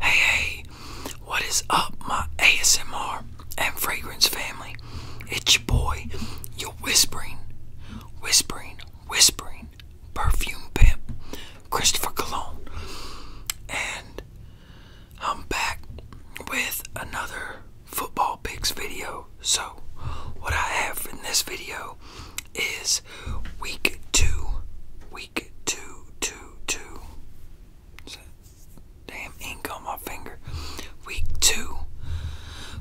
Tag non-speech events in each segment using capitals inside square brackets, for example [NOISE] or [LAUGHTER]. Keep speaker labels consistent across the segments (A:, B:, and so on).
A: Hey, hey, what is up, my ASMR and fragrance family? It's your boy, your whispering, whispering, whispering perfume pimp, Christopher Cologne. And I'm back with another football picks video. So, what I have in this video is week two. Week two, two, two. Damn ink on my finger. Week two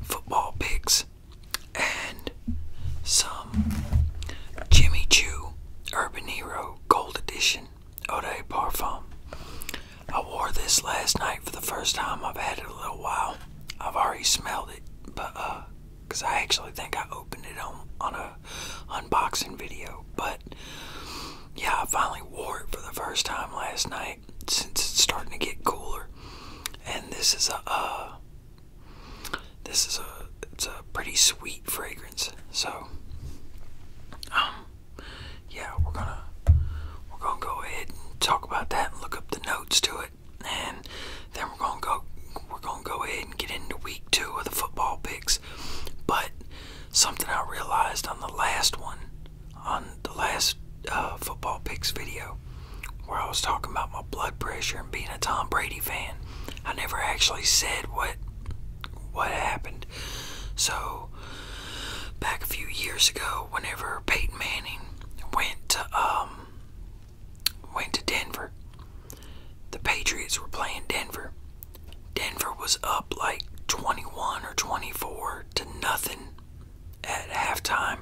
A: football picks and some Jimmy Choo Urban Hero Gold Edition Eau de Parfum. I wore this last night for the first time. I've had it a little while. I've already smelled it, but uh, because I actually think I opened it on on a unboxing video. But yeah, I finally wore it for the first time last night since it's starting to get cooler. And this is a uh, this is a it's a pretty sweet fragrance. So um, yeah, we're gonna we're gonna go ahead and talk about that and look up the notes to it and then we're gonna go we're gonna go ahead and get into week two of the football picks. But something I realized on the last one, on the last uh, football picks video, where I was talking about my blood pressure and being a Tom Brady fan, I never actually said what what happened. So back a few years ago, whenever Peyton Manning went to um, went to Denver. The Patriots were playing Denver. Denver was up like 21 or 24 to nothing at halftime,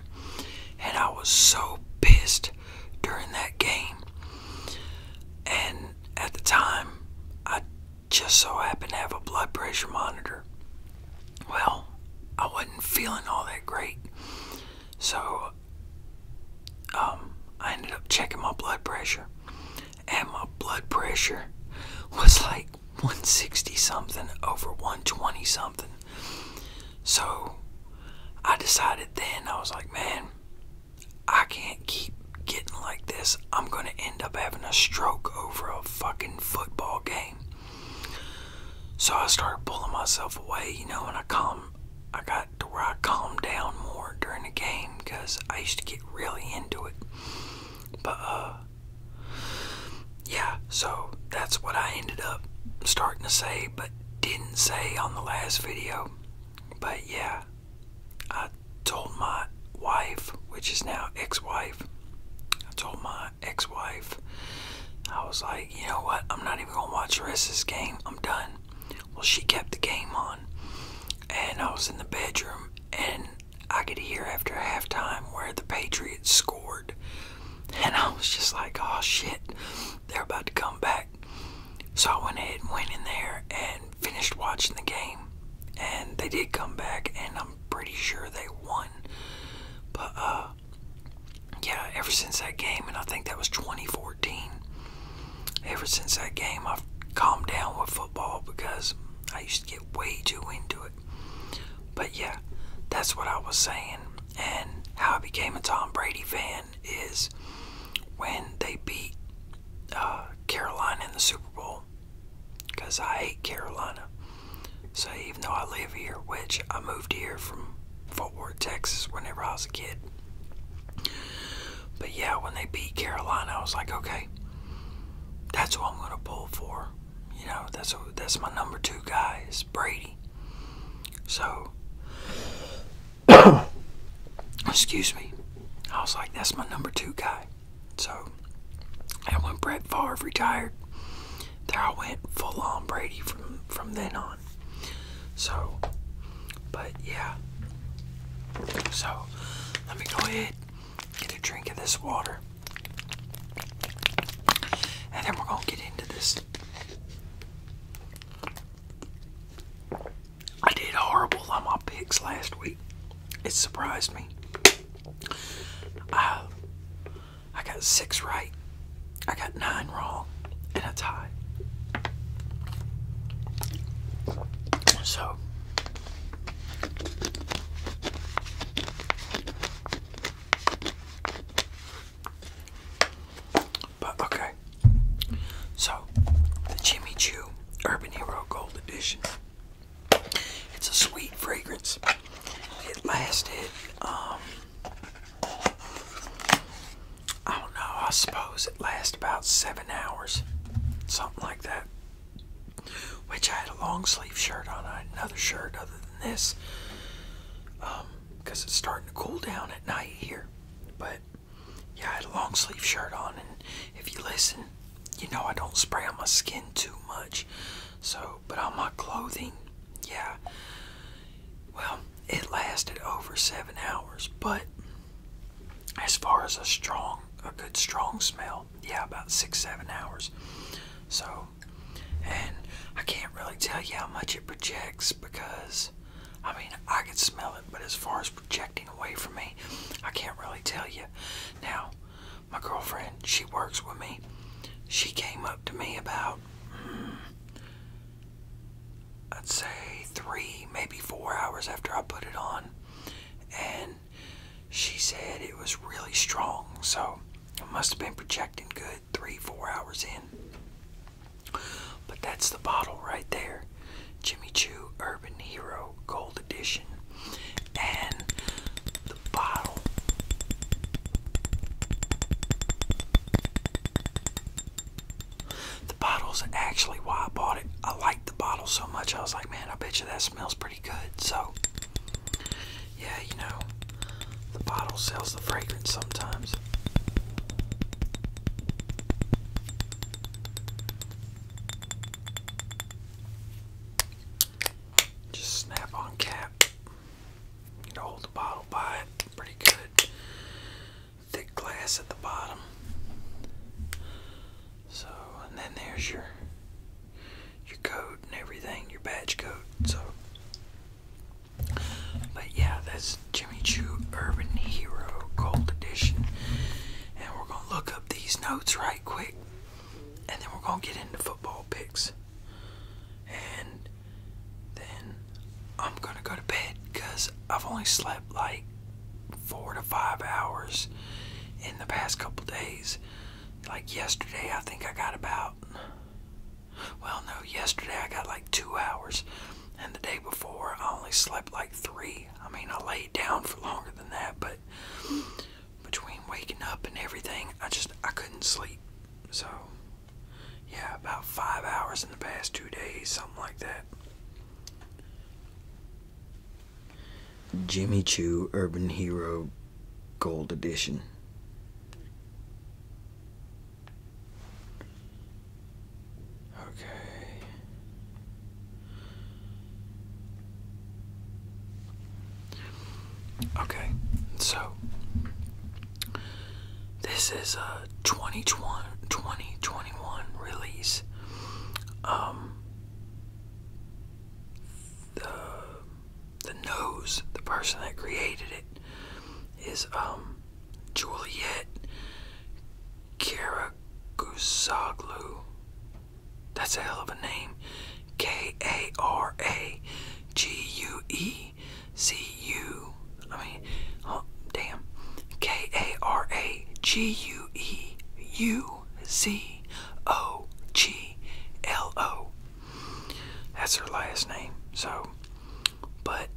A: and I was so pissed during that game. And at the time, I just so happened to have a blood pressure monitor. Well, I wasn't feeling all that great, so um, I ended up checking my blood pressure, and my blood pressure was like 160 something over 120 something. So I decided then, I was like, man, I can't keep getting like this. I'm going to end up having a stroke over a fucking football game. So I started pulling myself away, you know, when I come, I got to where I calmed down more during the game because I used to get really into it. But, uh, yeah, so that's what I ended up starting to say, but didn't say on the last video. But yeah, I told my wife, which is now ex wife, I told my ex wife, I was like, you know what, I'm not even going to watch the rest of this game. I'm done. Well, she kept the game on, and I was in the bedroom, and I could hear after halftime where the Patriots scored, and I was just like, "Oh shit, they're about to come back." So I went ahead and went in there and finished watching the game, and they did come back, and I'm pretty sure they won. But uh, yeah, ever since that game, and I think that was 2014, ever since that game, I've calmed down with football because I used to get way too into it. But yeah, that's what I was saying. And how I became a Tom Brady fan is when they beat uh, Carolina in the Super Bowl. Because I hate Carolina. So even though I live here, which I moved here from Fort Worth, Texas, whenever I was a kid. But yeah, when they beat Carolina, I was like, okay, that's what I'm gonna pull for. You know, that's that's my number two guy is Brady. So, [COUGHS] excuse me, I was like, that's my number two guy. So, and when Brett Favre retired, there I went full on Brady from from then on. So, but yeah. So, let me go ahead, get a drink of this water. And then we're going to get into this. I did horrible on my picks last week. It surprised me. Uh, I got six right. I got nine wrong and a tie. So but okay. So the Jimmy Choo Urban Hero Gold Edition. It's a sweet fragrance. It lasted um, I don't know, I suppose it lasts about seven hours, something like that. Which I had a long sleeve shirt on, another shirt other than this, because um, it's starting to cool down at night here. But yeah, I had a long sleeve shirt on, and if you listen, you know I don't spray on my skin too much. So, but on my clothing, yeah. Well, it lasted over seven hours, but as far as a strong, a good strong smell, yeah, about six, seven hours. So, and I can't really tell you how much it projects because, I mean, I could smell it, but as far as projecting away from me, I can't really tell you. Now, my girlfriend, she works with me. She came up to me about hmm, I'd say three, maybe four hours after I put it on. And she said it was really strong. So it must have been projecting good three, four hours in. But that's the bottle right there Jimmy Choo Urban Hero Gold Edition. And the bottle the bottle's actually why I bought it. I liked the bottle so much, I was like, man, I bet you that smells pretty good. So, yeah, you know, the bottle sells the fragrance sometimes. Just snap on cap. You know, hold the bottle by it. Pretty good. Thick glass at the bottom. So, and then there's your your code and everything, your badge code. So, but yeah, that's Jimmy Choo Urban Hero Gold Edition. And we're gonna look up these notes right quick, and then we're gonna get into football picks and then I'm gonna go to bed because I've only slept like four to five hours in the past couple days. Like yesterday, I think I got about, well, no, yesterday I got like two hours, and the day before I only slept like three. I mean, I laid down for longer than that, but between waking up and everything, I just I couldn't sleep. So yeah, about five hours in the past two days, something like that. Jimmy Choo Urban Hero Gold Edition. Okay. Okay, so this is a 2020, 2021 release. Um, the the nose, the person that created it, is um Juliet Karagusoglu. That's a hell of a name. K A R A G U E T C U. I mean, oh, damn. K A R A G U E U Z O G L O. That's her last name. So, but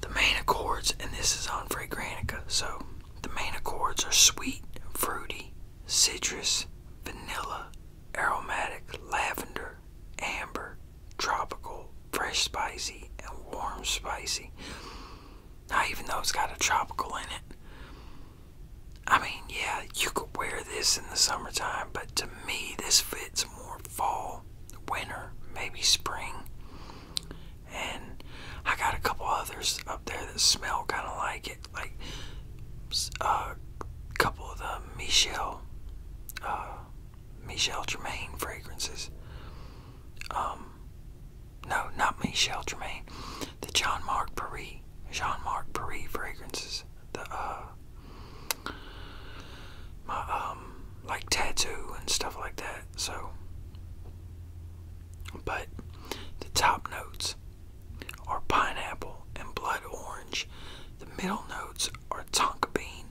A: the main accords, and this is on Fragranica, so the main accords are sweet, fruity, citrus, vanilla, aromatic, lavender, amber, tropical, fresh spicy, and warm spicy. Not even though it's got a tropical in it, I mean, yeah, you could wear this in the summertime, but to me, this fits more fall, winter, maybe spring. And I got a couple others up there that smell kind of like it, like a uh, couple of the Michelle uh, Michelle Germain fragrances. Um, no, not Michelle Tremaine. The Jean Marc Paris, Jean Marc Paris fragrances. The uh, my um, like tattoo and stuff like that. So, but the top notes are pineapple and blood orange. The middle notes are tonka bean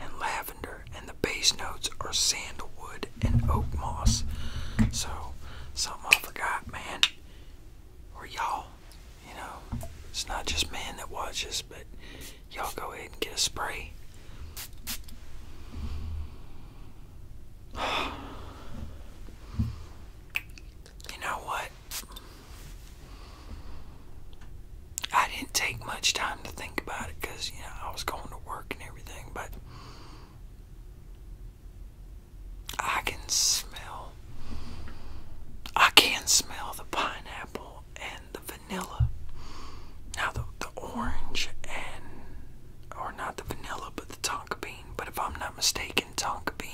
A: and lavender, and the base notes are sandalwood and oak moss. So, something I forgot, man, or y'all, you know, it's not just man that watches, but y'all go ahead and get a spray. [SIGHS] [SIGHS] You know what? I didn't take much time to think about it because, you know, I was going to work and everything, but I can smell. I can smell the pineapple and the vanilla. Now, the, the orange and. Or not the vanilla, but the tonka bean. But if I'm not mistaken, tonka bean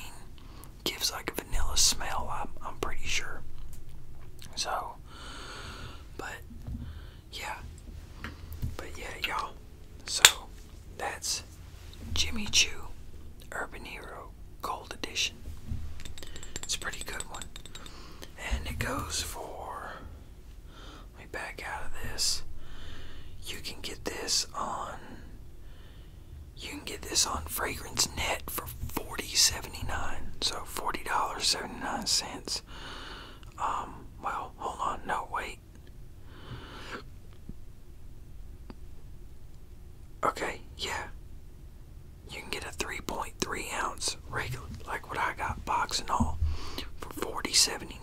A: gives like a vanilla smell, I'm, I'm pretty sure. So, but yeah, but yeah, y'all. So that's Jimmy Choo Urban Hero Gold Edition. It's a pretty good one, and it goes for. Let me back out of this. You can get this on you can get this on Fragrance Net for $40.79. So $40.79. Um, well, hold on, no, wait. Okay, yeah. You can get a 3.3 ounce regular, like what I got, box and all, for $40.79.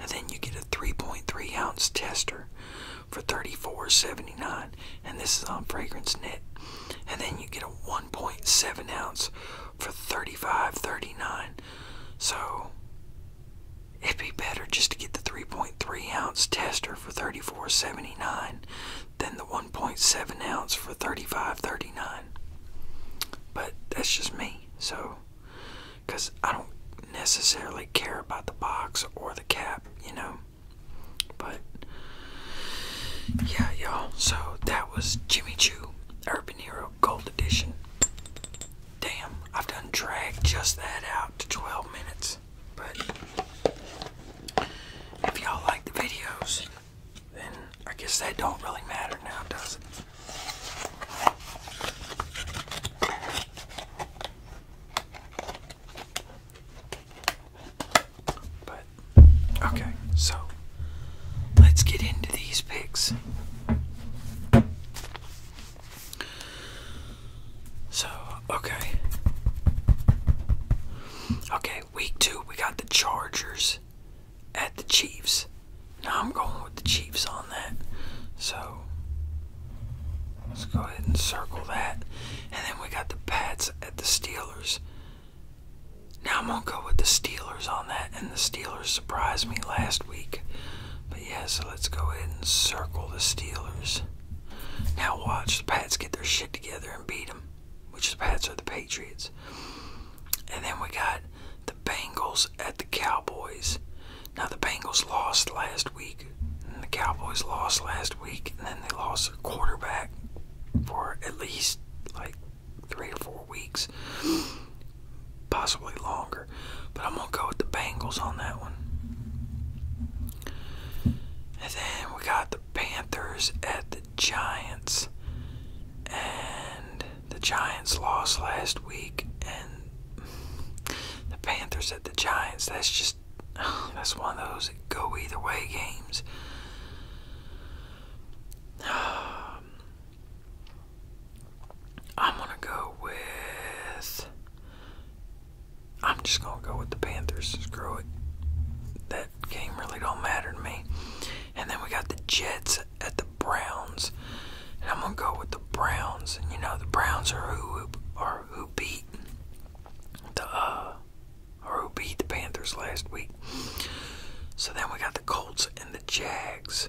A: And then you get a 3.3 ounce tester for thirty four seventy nine, and this is on Fragrance Net, And then you get a 1.7 ounce for thirty five thirty nine, So it'd be better just to get the 3.3 ounce tester for thirty four seventy nine, than the 1.7 ounce for thirty five thirty nine. But that's just me. So, because I don't necessarily care about the box or the cap, you know. But yeah, y'all. So that was Jimmy Choo Urban Hero Gold Edition. Damn, I've done drag just that out to 12 minutes. But if y'all like the videos, then I guess that don't really matter now, does it? But okay, so let's get into these picks. So, okay. Okay, week two, we got the Chargers at the Chiefs. Now I'm going with the Chiefs on that. So, Let's go ahead and circle that. And then we got the Pats at the Steelers. Now I'm going to go with the Steelers on that, and the Steelers surprised me last week. But yeah, so let's go ahead and circle the Steelers. Now watch the Pats get their shit together and beat them, which the Pats are the Patriots. And then we got the Bengals at the Cowboys. Now, the Bengals lost last week, and the Cowboys lost last week, and then they lost their quarterback for at least like three or four weeks, possibly longer. But I'm going to go with the Bengals on that one. And then we got the Panthers at the Giants. And the Giants lost last week, and the Panthers at the Giants. That's just [SIGHS] that's one of those go either way games. [SIGHS] I'm gonna go with. I'm just gonna go with the Panthers. Screw it. That game really don't matter to me. And then we got the Jets at the Browns, and I'm gonna go with the Browns. And you know the Browns are whoop are who beat the uh, who beat the Panthers last week. So then we got the Colts and the Jags.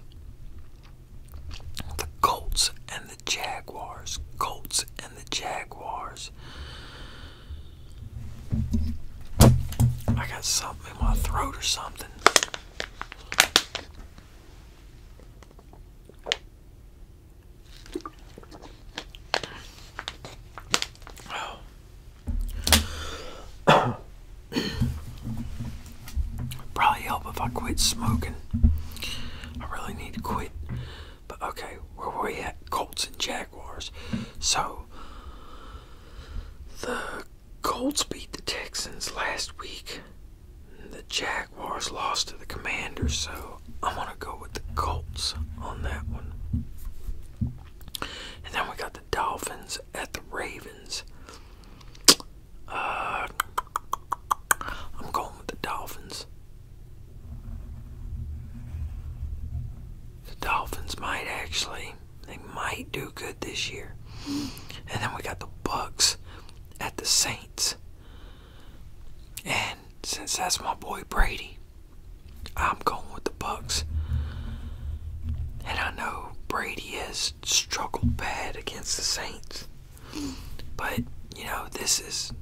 A: The Colts and the Jaguars. Colts and the Jaguars. I got something in my throat or something. Oh. [CLEARS THROAT] Probably help if I quit smoking. I really need to quit. But okay, where were we at? Colts and Jaguars. So the Colts beat the Texans last week the Jaguars lost to the Commanders, so I'm going to go with the Colts on that one. And then we got the Dolphins at the Ravens. Uh, I'm going with the Dolphins. The Dolphins might actually, they might do good this year. And then we got the Bucks at the Saints. And since that's my boy Brady, I'm going with the Bucks. And I know Brady has struggled bad against the Saints. But, you know, this is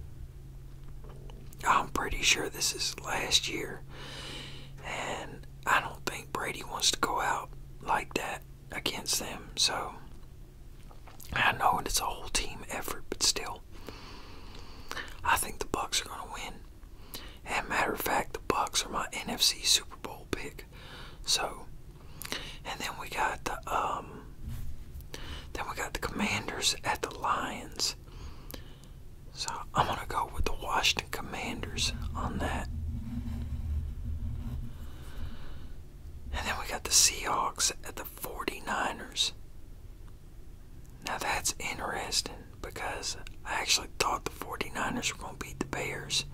A: I'm pretty sure this is last year. And I don't think Brady wants to go out like that against them. So I know it's a whole team effort, but still, I think the Bucks are going to win. And matter of fact, the Bucks are my NFC Super Bowl pick. So, and then we got the um, then we got the Commanders at the Lions. So I'm gonna go with the Washington Commanders on that. And then we got the Seahawks at the 49ers. Now that's interesting because I actually thought the 49ers were going to beat the Bears.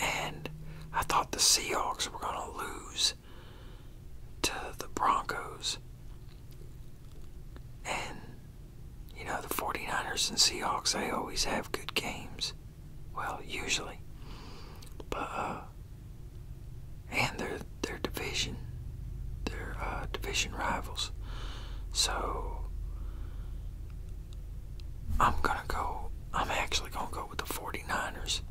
A: And I thought the Seahawks were going to lose to the Broncos. And, you know, the 49ers and Seahawks, they always have good games. Well, usually. But uh and their their division their uh division rivals. So I'm gonna go I'm actually gonna go with the 49ers.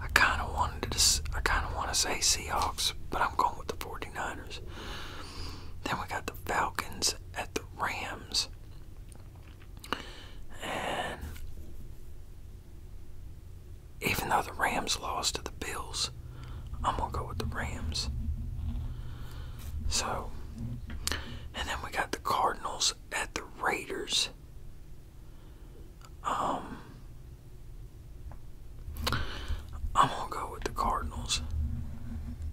A: I kinda wanted to I kinda wanna say Seahawks, but I'm going with the 49ers. Then we got the Falcons at the Rams. And even though the Rams lost to the Bills, I'm going to go with the Rams. So, and then we got the Cardinals at the Raiders. Um, I'm going to go with the Cardinals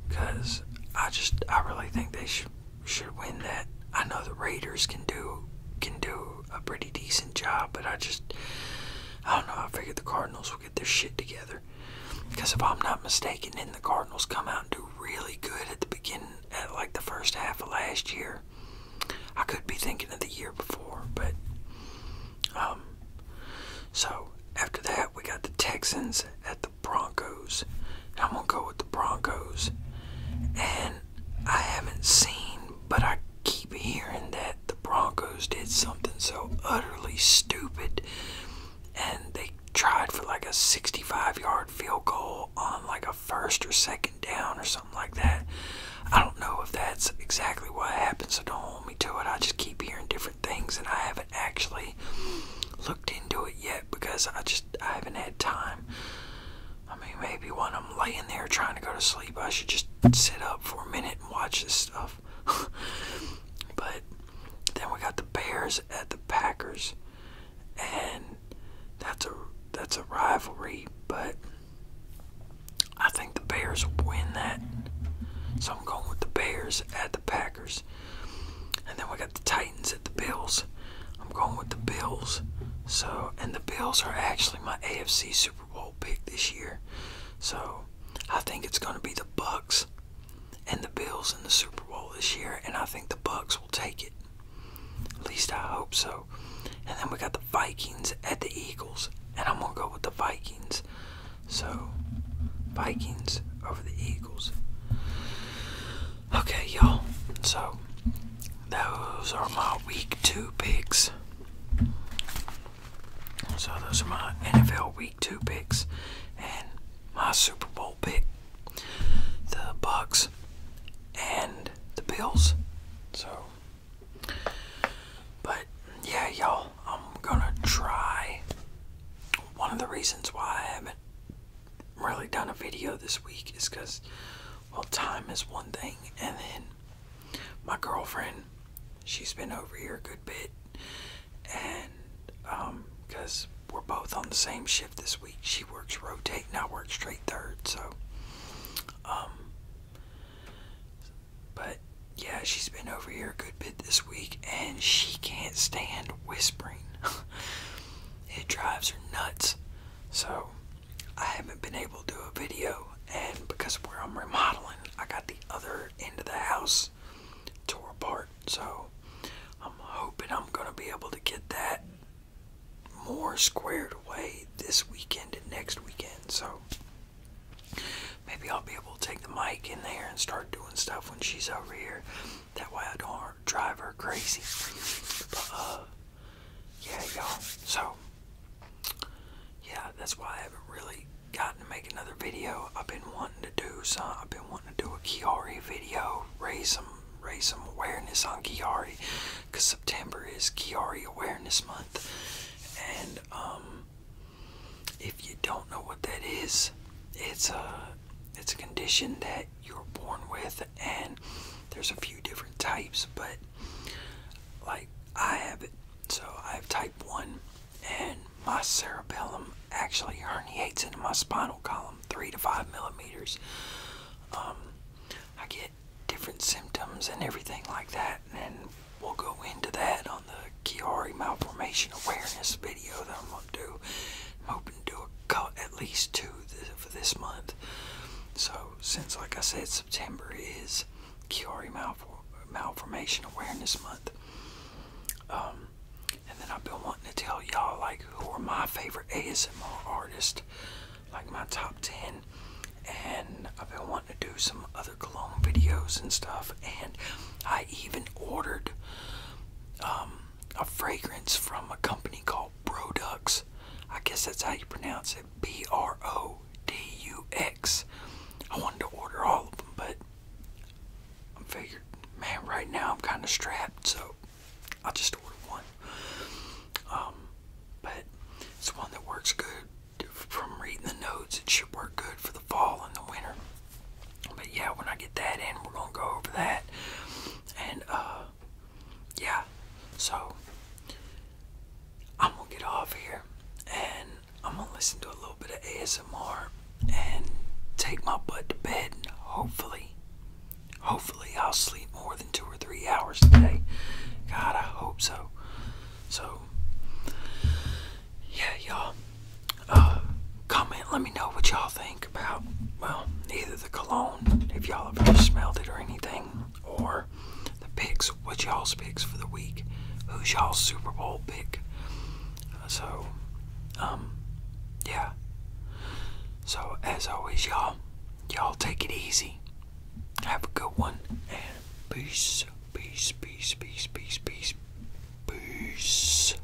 A: because I just, I really think they should should win that. I know the Raiders can do can do a pretty decent job, but I just I don't know. I figured the Cardinals will get their shit together because if I'm not mistaken, then the Cardinals come out and do really good at the beginning, at like the first half of last year. I could be thinking of the year before, but um, so after that we got the Texans at the Broncos. I'm gonna go with the Broncos, and I haven't seen, but I keep hearing that the Broncos did something so utterly stupid and they tried for like a 65 yard field goal on like a first or second down or something like that. I don't know if that's exactly what happened, so don't hold me to it. I just keep hearing different things and I haven't actually looked into it yet because I just I haven't had time. I mean, maybe when I'm laying there trying to go to sleep, I should just sit up for a minute and watch this stuff. [LAUGHS] but then we got the Bears at the Packers, and that's a that's a rivalry, but I think the Bears win that. So I'm going with the Bears at the Packers. And then we got the Titans at the Bills. I'm going with the Bills. So, and the Bills are actually my AFC Super Bowl pick this year. So, I think it's going to be the Bucks and the Bills in the Super Bowl this year, and I think the Bucks will take it. At least I hope so. And then we got the Vikings at the Eagles, and I'm going to go with the Vikings. So, Vikings over the Eagles. Okay, y'all. So those are my week two picks. So those are my NFL week two picks and my Super Bowl pick. The Bucks and the Bills. So but yeah y'all, I'm gonna try one of the reasons why I haven't really done a video this week is because, well, time is one thing, and then my girlfriend, she's been over here a good bit, and um, because we're both on the same shift this week, she works rotate and I work straight third, so um, but yeah, she's been over here a good bit this week, and she can't stand whispering. [LAUGHS] It drives her nuts. So I haven't been able to do a video and because where I'm remodeling, I got the other end of the house tore apart. So I'm hoping I'm gonna be able to get that more squared away this weekend and next weekend. So maybe I'll be able to take the mic in there and start doing stuff when she's over here. That way I don't drive her crazy. But, uh, yeah, y'all. So, yeah, that's why I haven't really gotten to make another video. I've been wanting to do some, I've been wanting to do a Kiari video, raise some, raise some awareness on Kiari, because September is Kiari Awareness Month. And, um, if you don't know what that is, it's a, it's a condition that you are born with, and there's a few different types, but like I have it. So I have type 1, and my cerebellum actually herniates into my spinal column 3 to 5 millimeters. Um, I get different symptoms and everything like that, and we'll go into that on the Chiari malformation awareness video that I'm going to do. I'm hoping to do a, at least two for this month. So, since, like I said, September is Chiari Malformation Awareness Month. Um, and then I've been wanting to tell y'all, like, who are my favorite ASMR artists, like my top 10. And I've been wanting to do some other cologne videos and stuff. And I even ordered um, a fragrance from a company called Brodux. I guess that's how you pronounce it. B R O D U X. I wanted to order all of them, but I figured, man, right now I'm kind of strapped, so I'll just order one. Um, but it's one that works good from reading the notes. It should work good for the fall and the winter. But yeah, when I get that in, we're gonna go over that and uh yeah so i'm gonna get off here and i'm gonna listen to a little bit of asmr and take my butt to bed hopefully hopefully i'll sleep more than two or three hours today god i hope so so yeah y'all uh, comment. Let me know what y'all think about, well, either the cologne, if y'all have ever smelled it or anything, or the picks, what y'all's picks for the week, who's y'all's Super Bowl pick. Uh, so, um, yeah. So, as always, y'all, y'all take it easy. Have a good one, and peace, peace, peace, peace, peace, peace, peace.